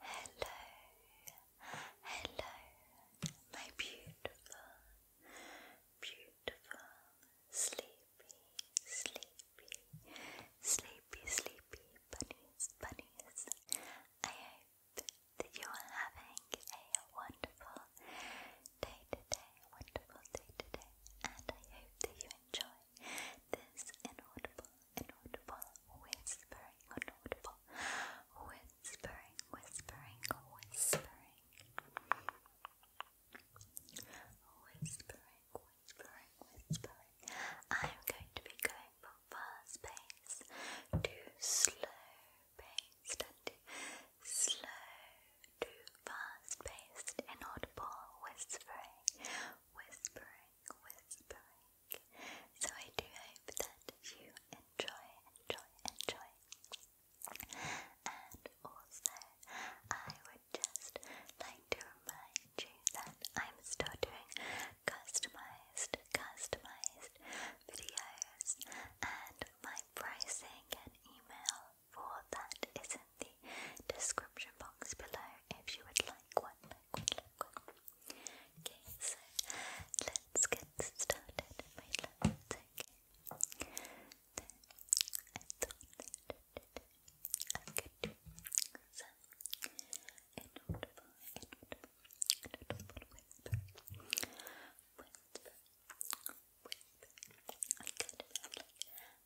Hello, hello, my beautiful, beautiful, sleepy, sleepy, sleepy, sleepy bunnies, bunnies. I hope that you are having a wonderful day today, wonderful day today, and I hope that you enjoy this inaudible, inaudible, whispering, inaudible, whispering, whispering, whispering, whispering, whispering, whispering. I'm going to be going from fast pace to slow pace and to slow to fast-paced, and audible whispering, whispering, whispering. So I do hope that you enjoy, enjoy, enjoy. And also, I would just like to remind you that I'm still doing customized, customized videos and my pricing and email for that is in the description box below if you would like one, like one, like one. Okay, so let's get started, my love. It's okay. So, I thought that I could do some inaudible, inaudible, inaudible whisper, whisper, whisper. I could have like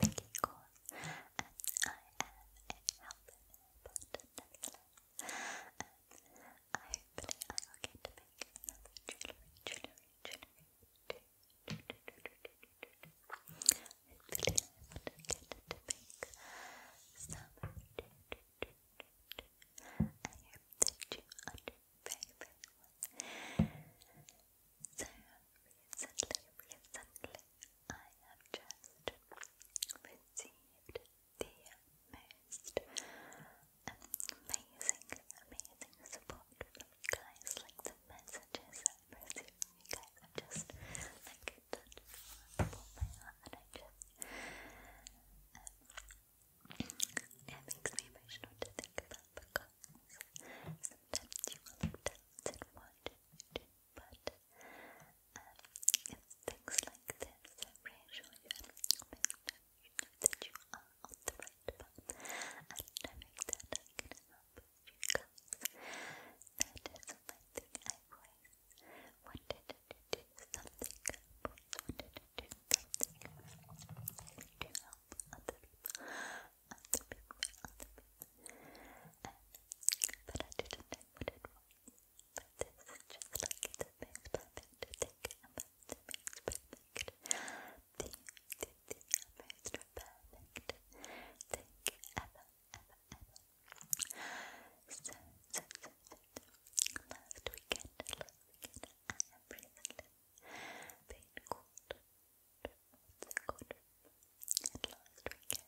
Mickey Cole, and I am a helper but nevertheless, and hopefully I get to make another jewellery, jewellery, jewellery, hopefully I will get to make some I hope that you understand favorite So recently, recently, I have just received the most amazing, amazing support from you guys. Like the messages I've received from you guys have just like touched my heart, and I just. it makes me emotional to think about because you will look tense but things like this that you that you are on the right path and that I can help you guys that is something I've always wanted to do something wanted to do something to help other people other people, but I didn't know what it was. But this is just like the most perfect thing about the most perfect. The, the, the most perfect thing ever, ever, ever. So, last weekend, I have recently been called the quarter. last weekend,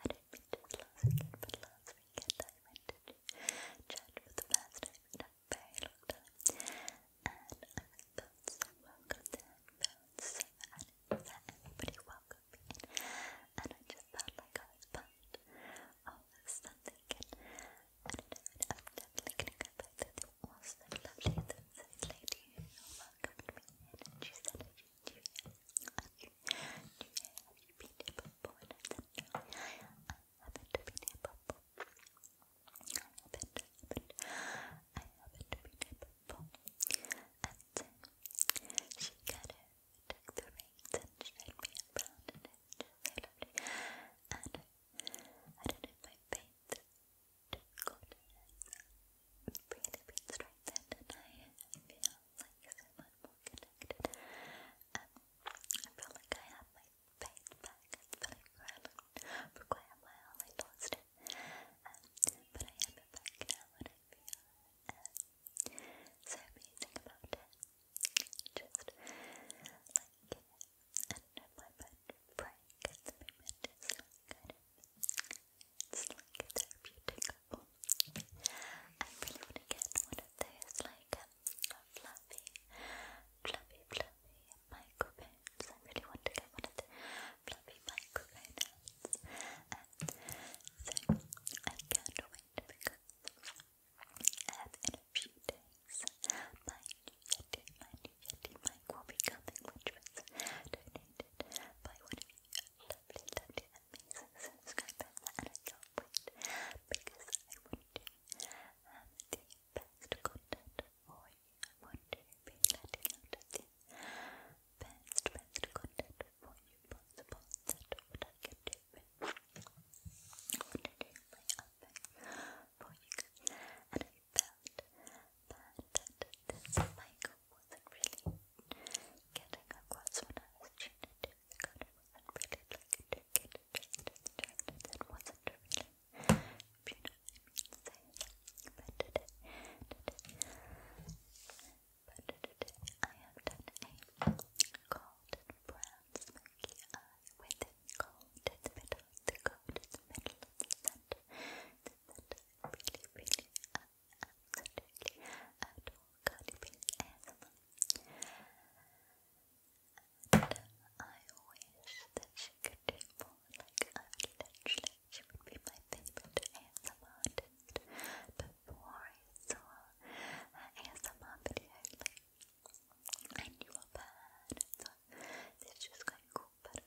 I didn't mean to last weekend, but last weekend I went to church for the first time in very long time. And I felt so welcome there, felt so animated that everybody welcomed me And I just felt like I was part of something. And I don't know, I'm definitely lovely. So this lady welcomed me and she said, Are you new here? Are you new here? Have been here before? And said, I haven't been here before. I haven't, haven't, I haven't been here before. And then she kind of took the reins and she led me around and it was just And I don't my faith just go really being and I feel like so much more connected I feel like I have my faith back I feel like for, but I have it back now and I feel um, so amazing about it just like and my pet Frank at is like it's like a therapeutic I really want to get one of those like fluffy, fluffy, fluffy microphones. I really want to get one of the fluffy microphones. Um, so I can't wait to in a few days my new Yeti, my Yeti Mike will be coming, which was donated by one of you lovely, lovely, amazing subscribers, and I can't wait because I want to have the best content for you. I want to be letting out the best, best content for you possible. That's what I can do I want to do my other for you I this mic wasn't really getting across what I was trying to do. The cutter wasn't really like a It wasn't really, if you I mean, say. a cold brown smoky eye with a cold that, that I really, really absolutely adore Cardi And I wish that she could do more, like I literally, she would be my favorite ASMR before I saw ASMR video, like, I knew of her, and so just going but,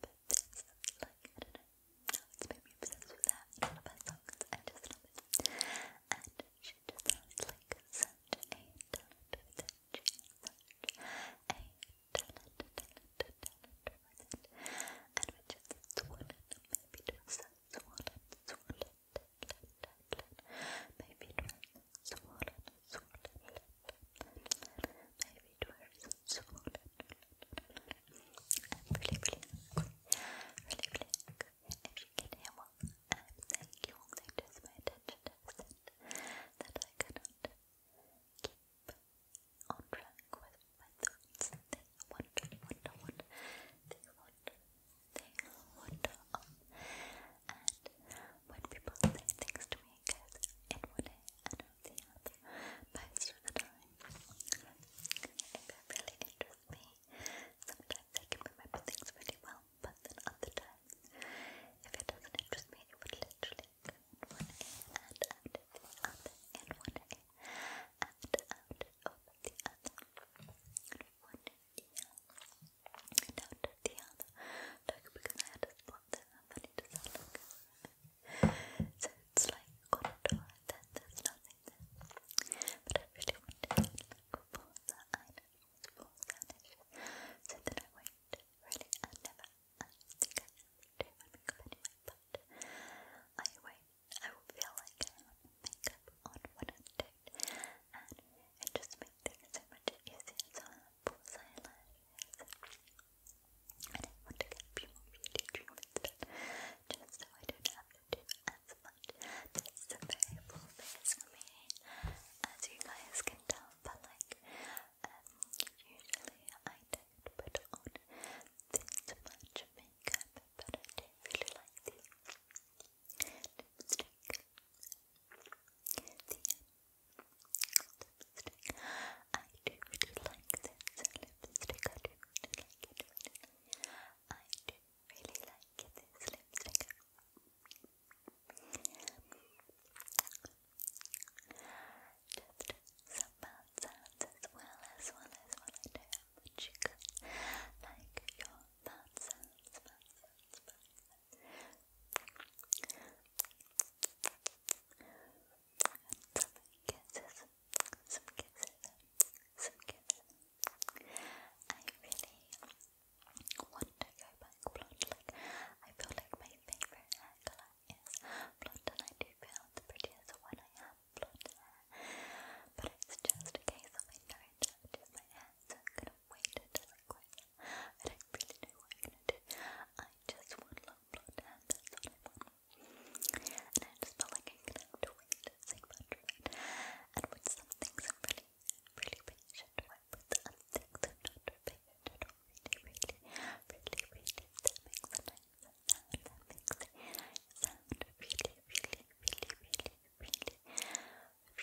but this, like, I don't know, it's made me obsessed with her in all I just love it, and she just has, like, such a talent with it, she has such a talent, talent, talent with it, and we're just swollen, maybe to us, swollen, swollen, talent, talent, maybe to us, swollen, swollen, maybe it was swollen. I'm really, really angry, really, really angry. If you can hear what I'm saying, you will notice my attention that I cannot keep on track with my thoughts. They wander, wander, wander. They wander, they wander And when people say things to me, fingers in one ear and out the other most of the time. It really interests me. Sometimes I can remember things really well, but then other times, if it doesn't interest me, it would literally go in one ear and out the other, in one ear and out of the other, one ear and out the other. Like because I had a spot there, and what does So it's like got and then there's nothing But I really wanted to look for the items, for So then I went, really, I never, I don't think I ever but I wait, I feel like I have makeup on when i and it just makes things so much easier. So I pulls eyelashes. And I want to get more beauty treatments just so I don't have to do as much. This is a very full face for me, as you guys can tell, but like, um, usually I don't put on this much makeup, but I do really like the lipstick. The lipstick. I do really like this lipstick. I do really like it. I do really like this lipstick. Just some bad sounds as well as well as well. I know how much you guys like your bad sounds, bad sounds, bad sounds kisses, some kisses, some kisses. I really want to go back blonde. Like I feel like my favorite hair color is blonde, and I do feel the prettiest when I have blonde hair. But it's just a case of I know it's just my hair, so I'm gonna wait until quick. I don't really know what I'm gonna do. I just want long blonde that's all I want. And I just felt like I'm gonna have to wait And with some things I'm really, really patient with, with other things I'm not patient at all. Really, really, really, really, that makes a nice sound. That makes a sound really, really, really, really, really,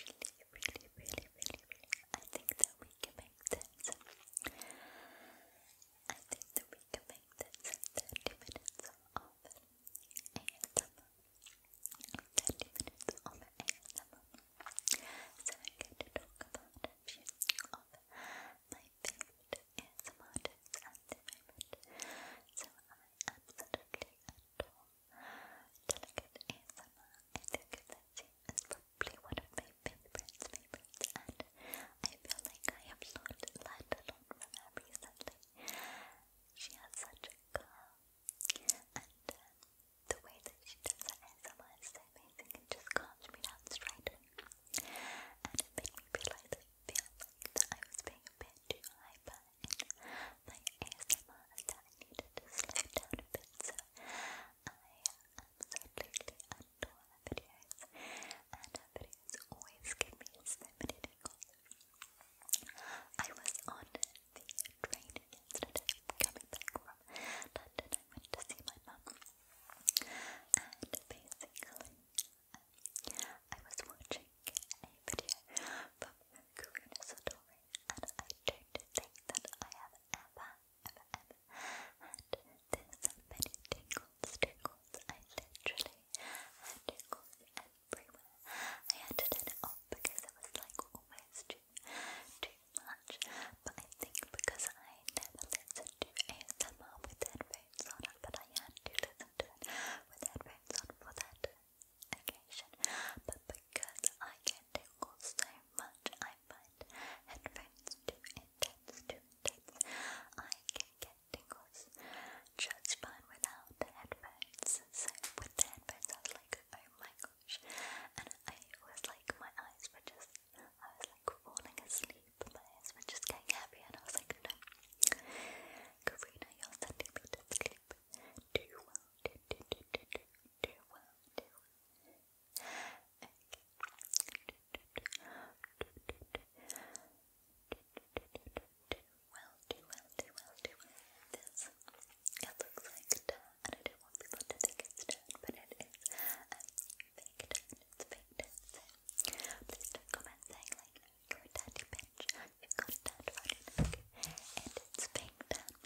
really, really, really, really, really. I think that we can make this. I think that we can make 30 minutes of ASMR. 30 minutes of ASMR. So I'm going to talk about a few of my favorite ASMR artists at the moment. So I absolutely adore delicate ASMR I think that scene probably one of my favorites, favorites, and I feel like I have learned a lot from her recently. She has such a calm, and uh, the way that she does ASMR is so amazing, it just calms me down straight and it made me I feel like I was being a bit too hyper in my ASMR that I needed to slow down a bit, absolutely adore her videos, and videos always give me so many tingles. I was on the train yesterday, coming back from London. I went to see my mum, and basically, I was watching a video from Karina Satori, and I don't think that I have ever there's so many tingles, tingles, I literally had tingles everywhere. I had to turn it off because it was like almost too, too much, but I think because I never listened to ASMR with headphones on, but I had to listen to it with headphones on for that occasion, but because I get tingles so much, I I headphones too intense, too intense. I can get tingles just fine without headphones. So with the headphones, I was like, oh my gosh. And I was like, my eyes were just, I was like falling asleep. My eyes were just getting heavy, and I was like, no. Karina, you're sending me to sleep. Do well, do, do, do, do, do, well, do well, do well, do well, do This it looks like and I don't want people to think it's done, but it is. Um, fake it's fake please don't comment saying like you're a daddy bitch, you've got a dad around it's fake done.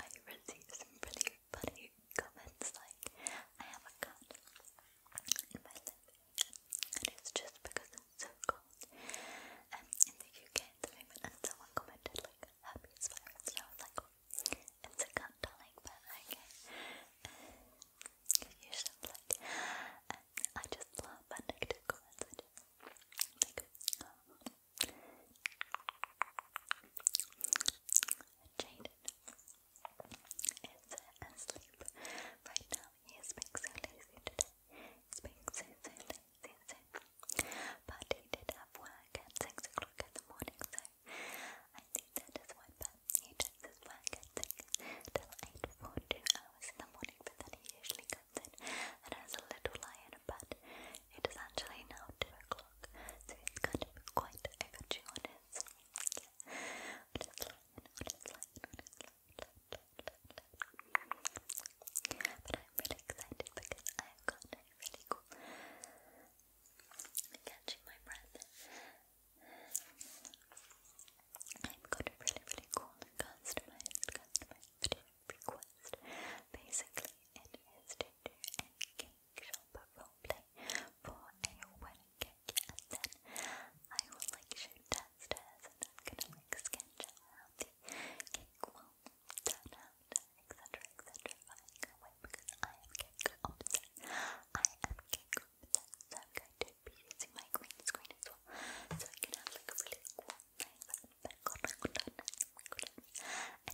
I received some pretty funny comments like, I have a cut in my lip and it's just because it's so cold um, in the UK the moment and someone commented like, happy as I was like, it's a cut darling, but okay um, you should like, I just love negative comments, jaded. It's asleep. Right now, he is being so lazy today. He's being so, so lazy, so. But he did have work at 6 o'clock in the morning, so I think that is why. But he does his work at 6 till 8 for 2 hours in the morning, but then he usually comes in and has a little lie in bed. It is actually now 2 o'clock vlog, so it's kind of quite a good show on it. So, yeah. What is line? What is line? What is line? But I'm really excited because I've got a really cool. catching my breath. I've got a really, really cool customized, customized video request. Basically, it is Tinder and Game shop roleplay for a wedding cake and then I will like shoot downstairs and I'm gonna like sketch out the cake will turn etc. etc. I can't wait because I am cake obsessed. I am cake obsessed, I'm going to be using my green screen as well. So I can have like a really cool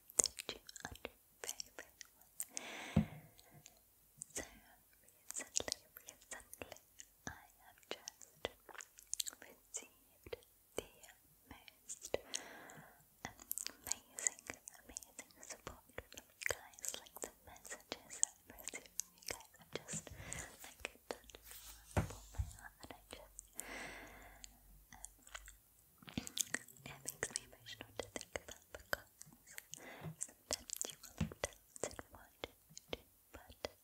hope you understand So recently, recently, I have just received the most amazing, amazing support from you guys. Like the messages I've received you guys have just like touched my heart and I just um, it makes me emotional to think about because sometimes you will look down and wonder, but um,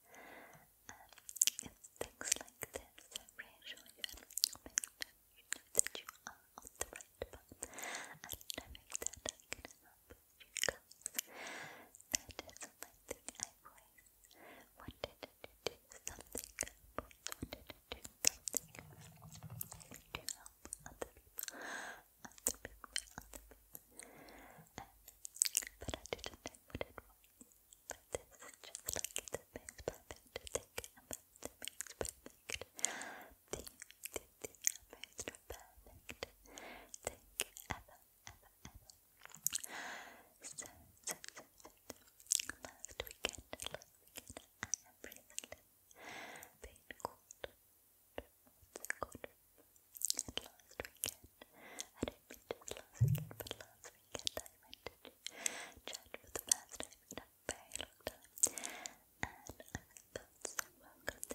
things like this reassure you and you know that you are on the right path and knowing that I can help you guys. That is something I always wanted to do something good, wanted to do something to help other people, other people, other people. but I didn't know what it was. But this is just like it makes perfect to think about, it makes perfect. The, the, the most perfect thing ever, ever, ever. so, so, so, so. Last weekend, last weekend, I have recently been called to what's And last weekend, I don't mean last weekend, but last weekend I went to church for the first time in a long time. And I felt so welcome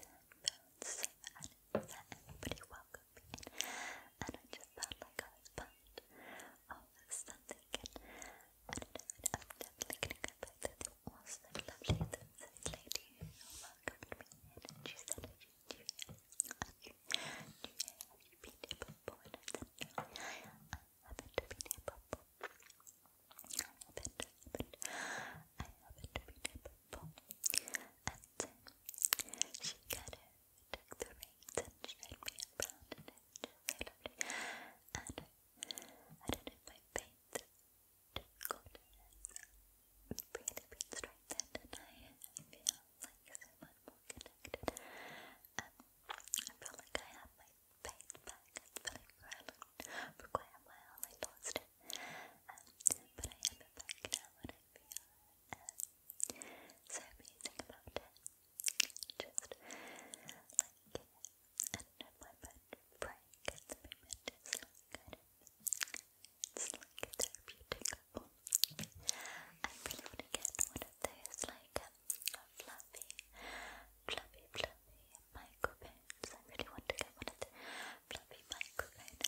so and everybody welcomed me And I just felt like I was part all this stuff I am definitely gonna go back to the awesome, lovely, thin lady who welcomed she said, Have you, do you, have you, have you been here before? I said, No, I haven't been here before I haven't, been here before and um, she kind of took the reins and showed me around and I loved it. And I don't know my faith took God has really been strengthened and I, I feel like so much more connected. I feel like I have my faith back. I feel like for, quite a while I lost it. but I have back now and I feel um, so amazing about it. Just like, I my mind praying at the moment is like kind it's like a therapeutic I really want to get one of those like fluffy, fluffy, fluffy microphones. I really want to get one of the fluffy microphones.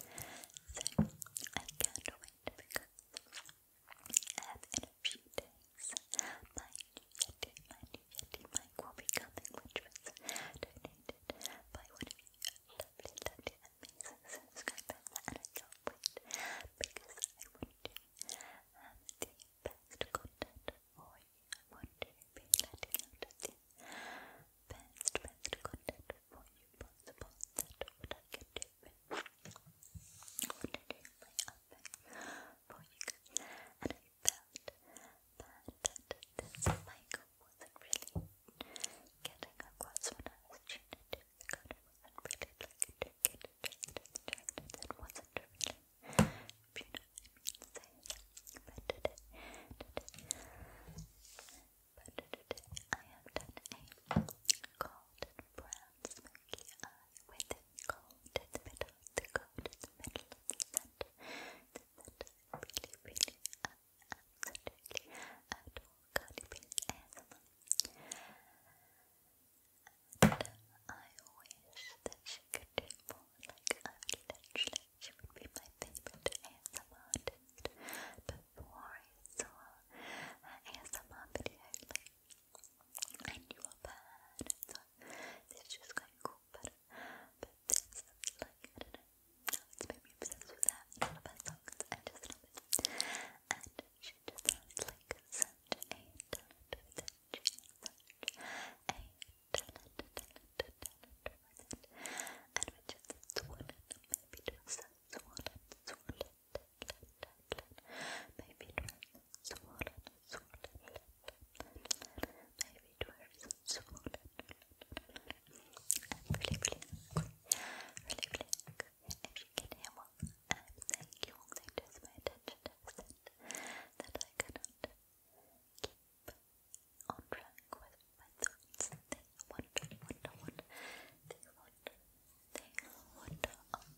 And so I can't wait and in a few days, my new Yeti, my new Yeti mic will be coming, which was donated by one of you lovely, lovely, amazing subscribers, and I can't because I want to the best content for you. I want to be letting the best, best content for you possible. what I can do Ordered in my oven for you and I felt that, that this mic wasn't really getting across when I was tuning it in. The wasn't really like a ticket, it wasn't really, if you know what I mean, saying. But today, today, but today, I have done a golden brown smell funky eye with its gold, its middle, the gold, its middle, its the center, really, really, absolutely adore And I wish that she could do more, like literally, she would be my favorite ASMR artist before I saw her video, and you are bad, and so this is cool, but, but this, like, I don't know, it's made me obsessed with that all of her songs, I just love it, and she just has, like, such a talent with it, she has such a talent, talent, talent with it, and which is swollen, maybe to herself, swollen, swollen, Baby dwarfs, swollen, swollen, baby dwarfs, swollen, and really blink, really blink. If you can hear what I'm saying, you will notice my attention deficit that I cannot keep on track with my thoughts. The wonder, they would um,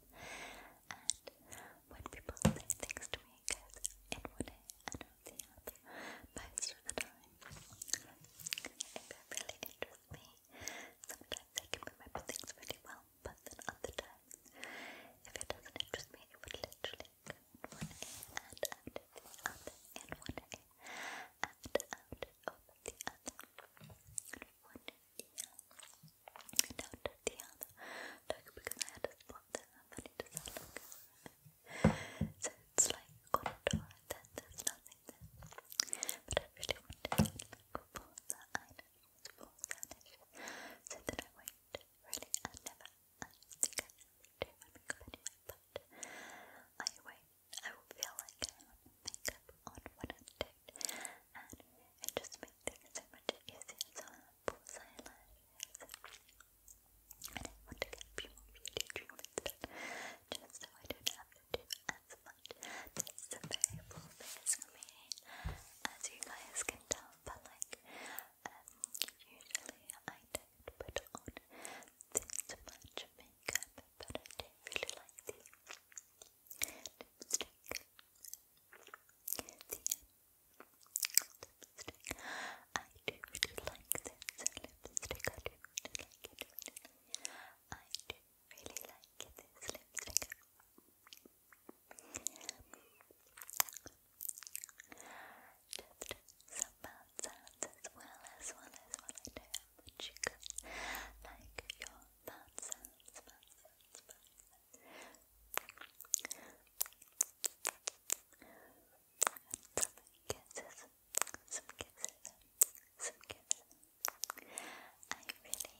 And when people say things to me, guys, in and out the other, most of the time, if it really interests me, sometimes I remember things really well, but then other times, if it doesn't interest me, it would literally go in one day and out the other, and of the other. One yeah. Down to the other dog because I had a spot and then it So it's like contour and then there's nothing But I really wanted to get back for that item So then I went really I never I do do my makeup anyway, but I wait I feel like I have makeup on when I do and it just made things so much easier. So I have false eyelashes, and I want to get a few more beauty treatments just so I don't have to do as much. This is a very full face for me, as you guys can tell, but like, usually I don't put on this much makeup, but I do really like the lipstick. I do really like this lipstick. I do really like it. I do Just some mouth sounds as well as well as well. I you guys like your mouth sounds, mouth Some kisses, some kisses, some kisses. I really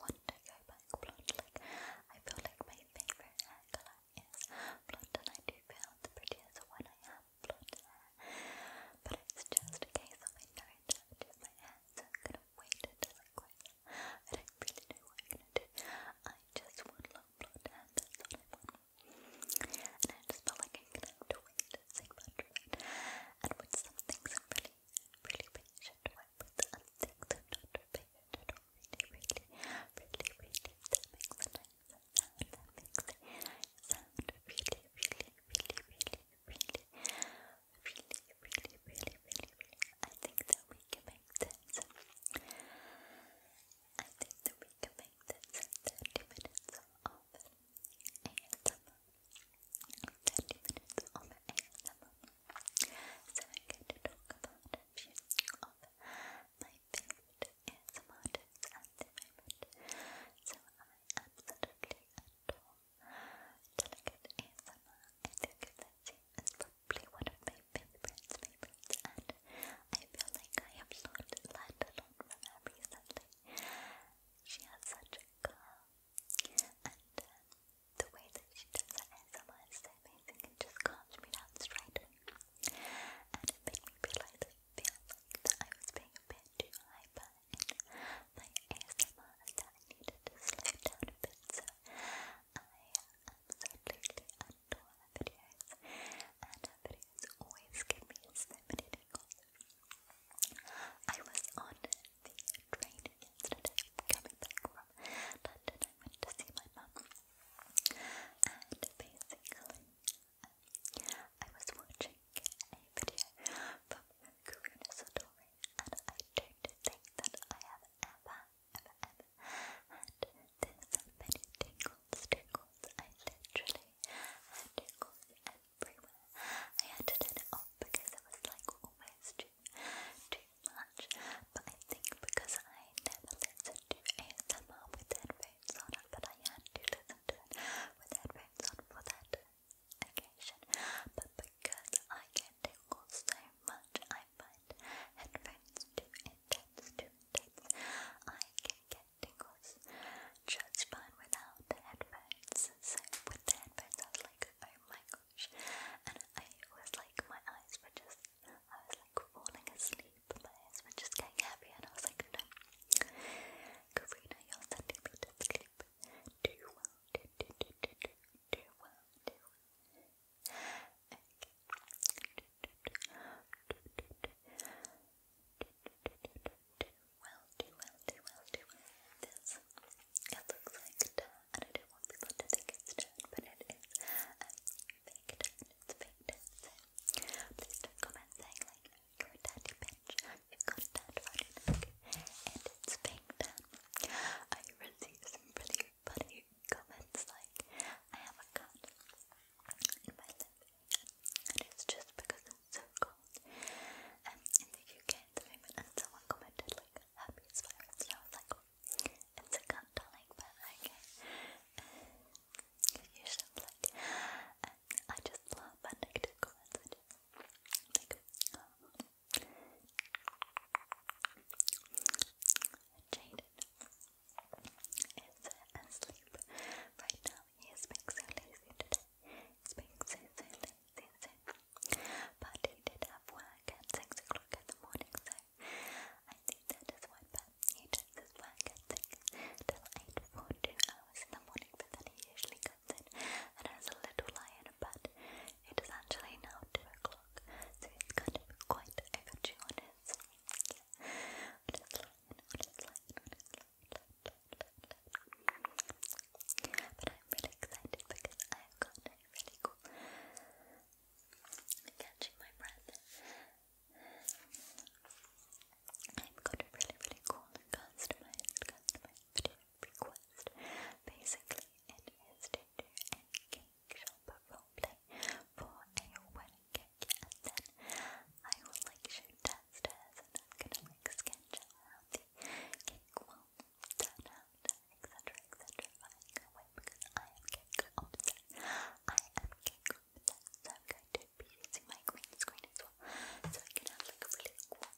want to go back blonde. Like I feel like my favorite hair color is blonde, and I do feel the prettiest when I have blonde hair. But it's just a case of I know sorry that I'm just my hands. I'm gonna wait until I quit. I don't really know what I'm gonna do. I just want long blonde hair, that's all I want. And I just felt like I'm gonna have to wait so much for it. And with some things I'm really, really patient with, with other things I'm not patient at all. Really, really, really, really, that makes a nice sound. That makes a nice sound. Really, really, really, really, really really, really, really, really, really, really, I think that we can make this. I think that we can make this 30 minutes of ASMR. 30 minutes of ASMR. So I'm going to talk about a few of my favorite ASMR at the moment. So I absolutely adore Delicate ASMR. I think that she is probably one of my favorites, favorites, and I feel like I have learned, learned a lot from She has such a calm, and uh, the way that she does her ASMR is amazing. It just calms me down straight and it me realize I feel like that I was being a bit too hyper my ASMR and needed a bit, I absolutely adore her videos, and videos always give me so many I was on the train yesterday, coming back from London, went to see my mum, and basically, um, I was watching a video Karuna Satori, and I don't think that I have ever, ever, ever had this many tingles, tingles. I literally had tingles everywhere. I had it off because it was like almost too, too much. But I think because I never listened to ASMR with headphones on, but I had to listen with headphones on for that occasion, but because I get tingled so much, I find headphones too intense, too intense. I can get tingles just fine without the headphones. So with the headphones, I was like, oh my gosh, and I was like, my eyes were just, I was like falling asleep, my eyes were just getting heavy, and I was like, Karina, you're sending me to sleep. Do well, do, do, do, do, do, do well, do well. Okay. Well, do well, do well, do well. This, it looks like and I don't want people to think it's done, but it is um, fake done, fake please don't comment saying like, your daddy bench. You've got a dad on your neck, and it's being I received really funny comments like, I have a cut in my lip, and it's just because it's so cold. Um, in the UK at the moment, someone commented like, happy as and I was like, it's a cut, darling, but okay. Uh, usually like, and I just love that negative comments. is asleep right now. He is being so lazy today. He's being so, so lazy, so. But he did have work at 6 o'clock in the morning, so I think that is why. But he does his work at 6 till 8 for 2 hours in the morning, but then he usually goes and has a little lion, but it is actually now 2 o'clock, so it's kind of quite overdue on his. But I'm really excited because I've got a really cool. am catching my breath. I've got a really, really cool customized, customized request. Basically, it is to do a cake shop roleplay for a wedding cake, and then I will like shoot downstairs and I'm gonna like sketch out cake will turn out, etc. etc. I can't wait because I am cake obsessed. I am cake obsessed, so I'm going to be using my green screen as well so I can have a really cool